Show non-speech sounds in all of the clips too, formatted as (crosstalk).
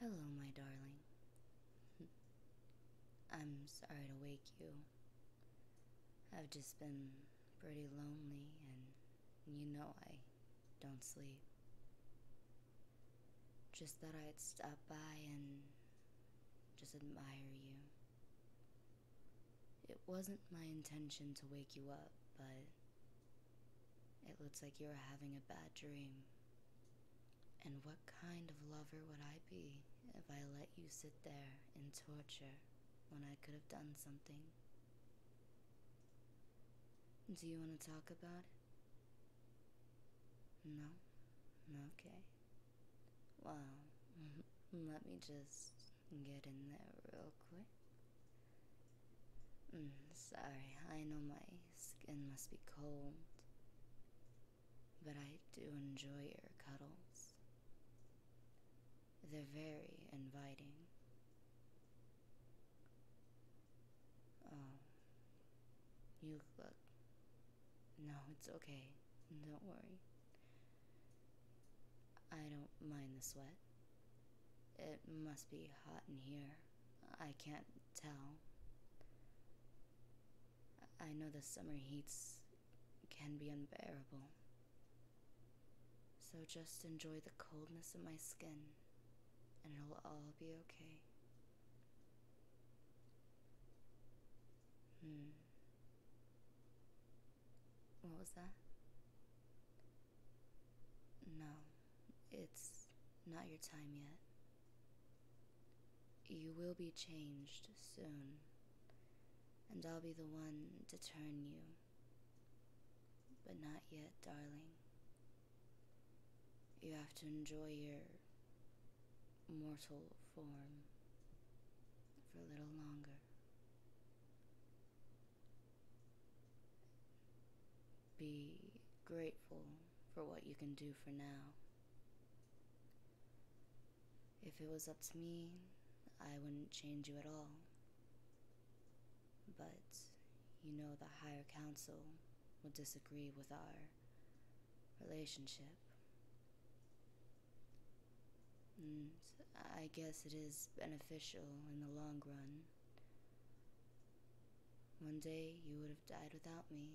Hello, my darling. (laughs) I'm sorry to wake you. I've just been pretty lonely, and you know I don't sleep. Just thought I'd stop by and just admire you. It wasn't my intention to wake you up, but it looks like you are having a bad dream. And what kind of lover would I be if I let you sit there in torture when I could have done something? Do you want to talk about it? No? Okay. Well, (laughs) let me just get in there real quick. Mm, sorry, I know my skin must be cold, but I do enjoy your cuddles. They're very inviting. Oh, you look. No, it's okay. Don't worry. I don't mind the sweat. It must be hot in here. I can't tell. I know the summer heats can be unbearable. So just enjoy the coldness of my skin, and it'll all be okay. Hmm. What was that? No, it's not your time yet. You will be changed soon, and I'll be the one to turn you. But not yet, darling. You have to enjoy your mortal form for a little longer. Be grateful for what you can do for now. If it was up to me, I wouldn't change you at all. But you know the higher council would disagree with our relationship. Mm, I guess it is beneficial in the long run one day you would have died without me,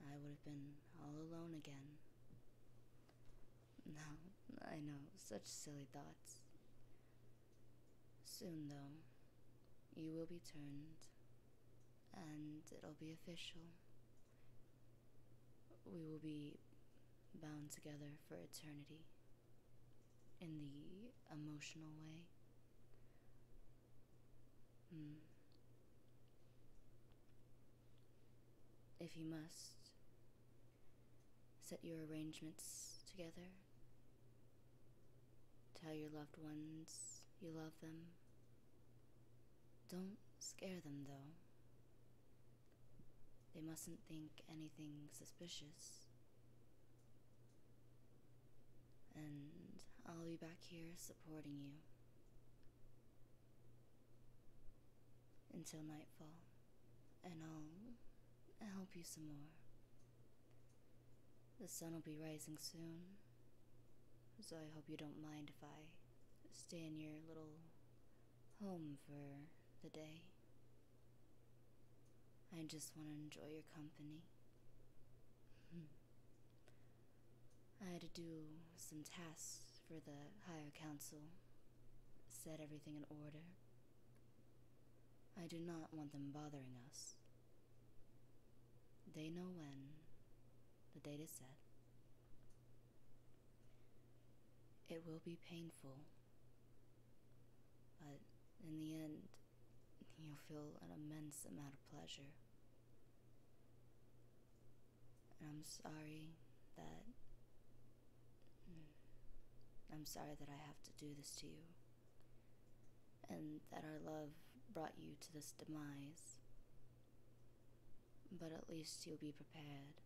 and I would have been all alone again. No, I know, such silly thoughts. Soon, though, you will be turned, and it'll be official. We will be bound together for eternity in the emotional way. Hmm. If you must, set your arrangements together. Tell your loved ones you love them. Don't scare them, though. They mustn't think anything suspicious. And I'll be back here supporting you until nightfall, and I'll help you some more. The sun will be rising soon, so I hope you don't mind if I stay in your little home for the day. I just want to enjoy your company. Hmm. I had to do some tasks for the Higher Council, set everything in order. I do not want them bothering us. They know when the date is set. It will be painful but in the end, you'll feel an immense amount of pleasure. I'm sorry that. Mm, I'm sorry that I have to do this to you. And that our love brought you to this demise. But at least you'll be prepared.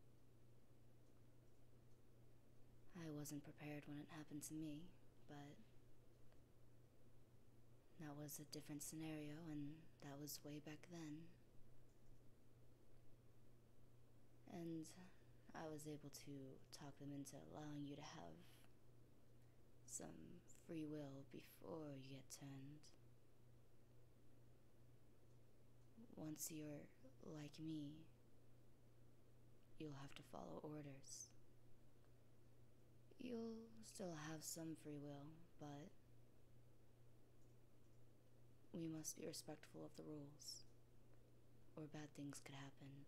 I wasn't prepared when it happened to me, but that was a different scenario, and that was way back then. And I was able to talk them into allowing you to have some free will before you get turned. Once you're like me, You'll have to follow orders. You'll still have some free will, but we must be respectful of the rules, or bad things could happen.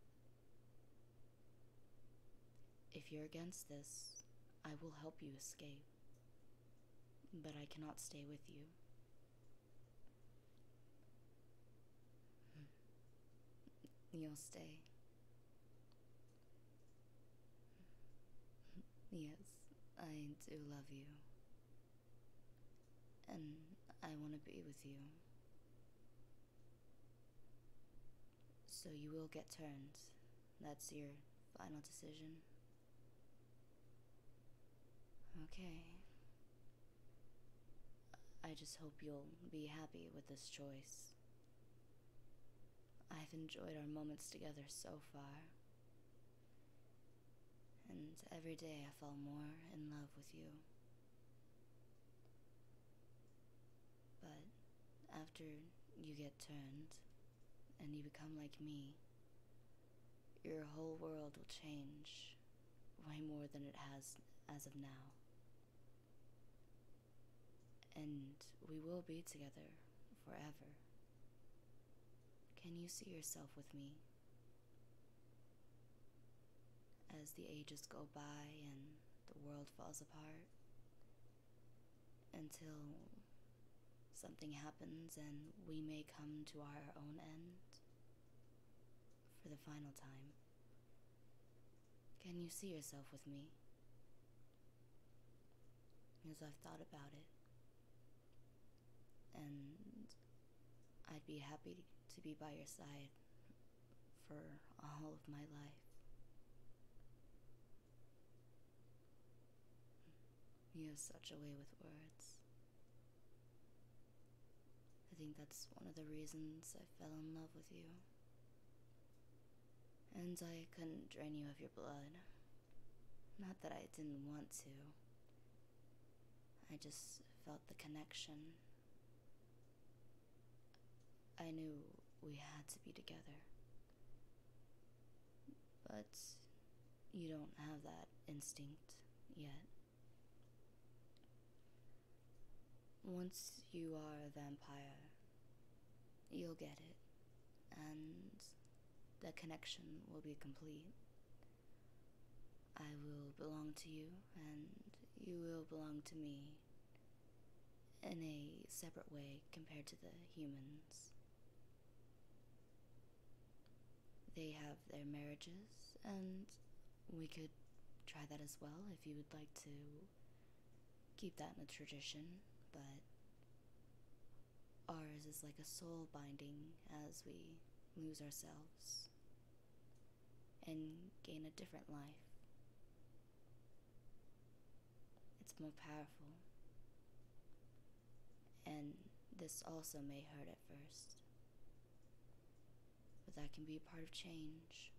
If you're against this, I will help you escape, but I cannot stay with you. You'll stay. Yes, I do love you. And I want to be with you. So you will get turned. That's your final decision? Okay. I just hope you'll be happy with this choice. I've enjoyed our moments together so far. And every day I fall more in love with you. But after you get turned and you become like me, your whole world will change way more than it has as of now. And we will be together forever. Can you see yourself with me? As the ages go by and the world falls apart, until something happens and we may come to our own end for the final time. Can you see yourself with me? As I've thought about it, and I'd be happy to be by your side for all of my life. You have such a way with words. I think that's one of the reasons I fell in love with you. And I couldn't drain you of your blood. Not that I didn't want to. I just felt the connection. I knew we had to be together. But you don't have that instinct yet. Once you are a vampire, you'll get it, and the connection will be complete. I will belong to you, and you will belong to me in a separate way compared to the humans they have their marriages, and we could try that as well if you would like to keep that in a tradition, but ours is like a soul binding as we lose ourselves and gain a different life. It's more powerful and this also may hurt at first. But that can be part of change.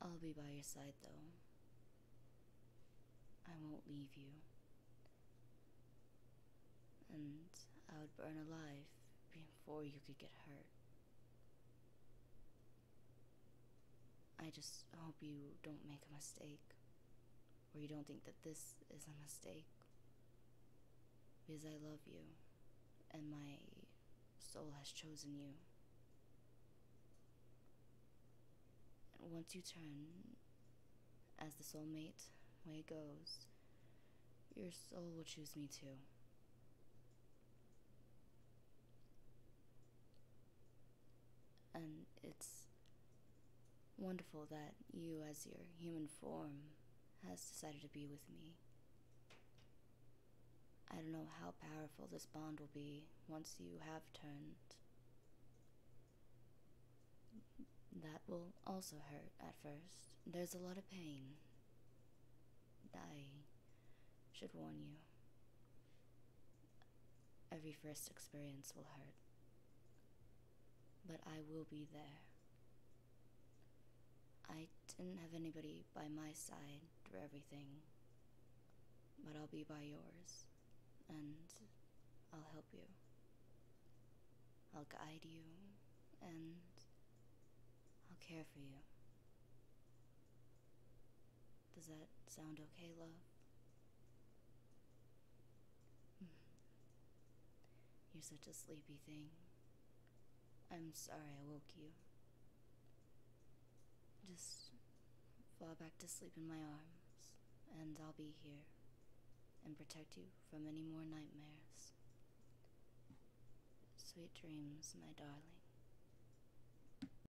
I'll be by your side though. I won't leave you. And I would burn alive before you could get hurt. I just hope you don't make a mistake, or you don't think that this is a mistake. Because I love you, and my soul has chosen you. once you turn, as the soulmate way goes, your soul will choose me too. And it's wonderful that you, as your human form, has decided to be with me. I don't know how powerful this bond will be once you have turned. That will also hurt at first. There's a lot of pain. I should warn you. Every first experience will hurt, but I will be there. I didn't have anybody by my side through everything, but I'll be by yours, and I'll help you. I'll guide you, and I'll care for you. Does that sound okay, love? Hmm. You're such a sleepy thing. I'm sorry I woke you. Just fall back to sleep in my arms, and I'll be here and protect you from any more nightmares. Sweet dreams, my darling.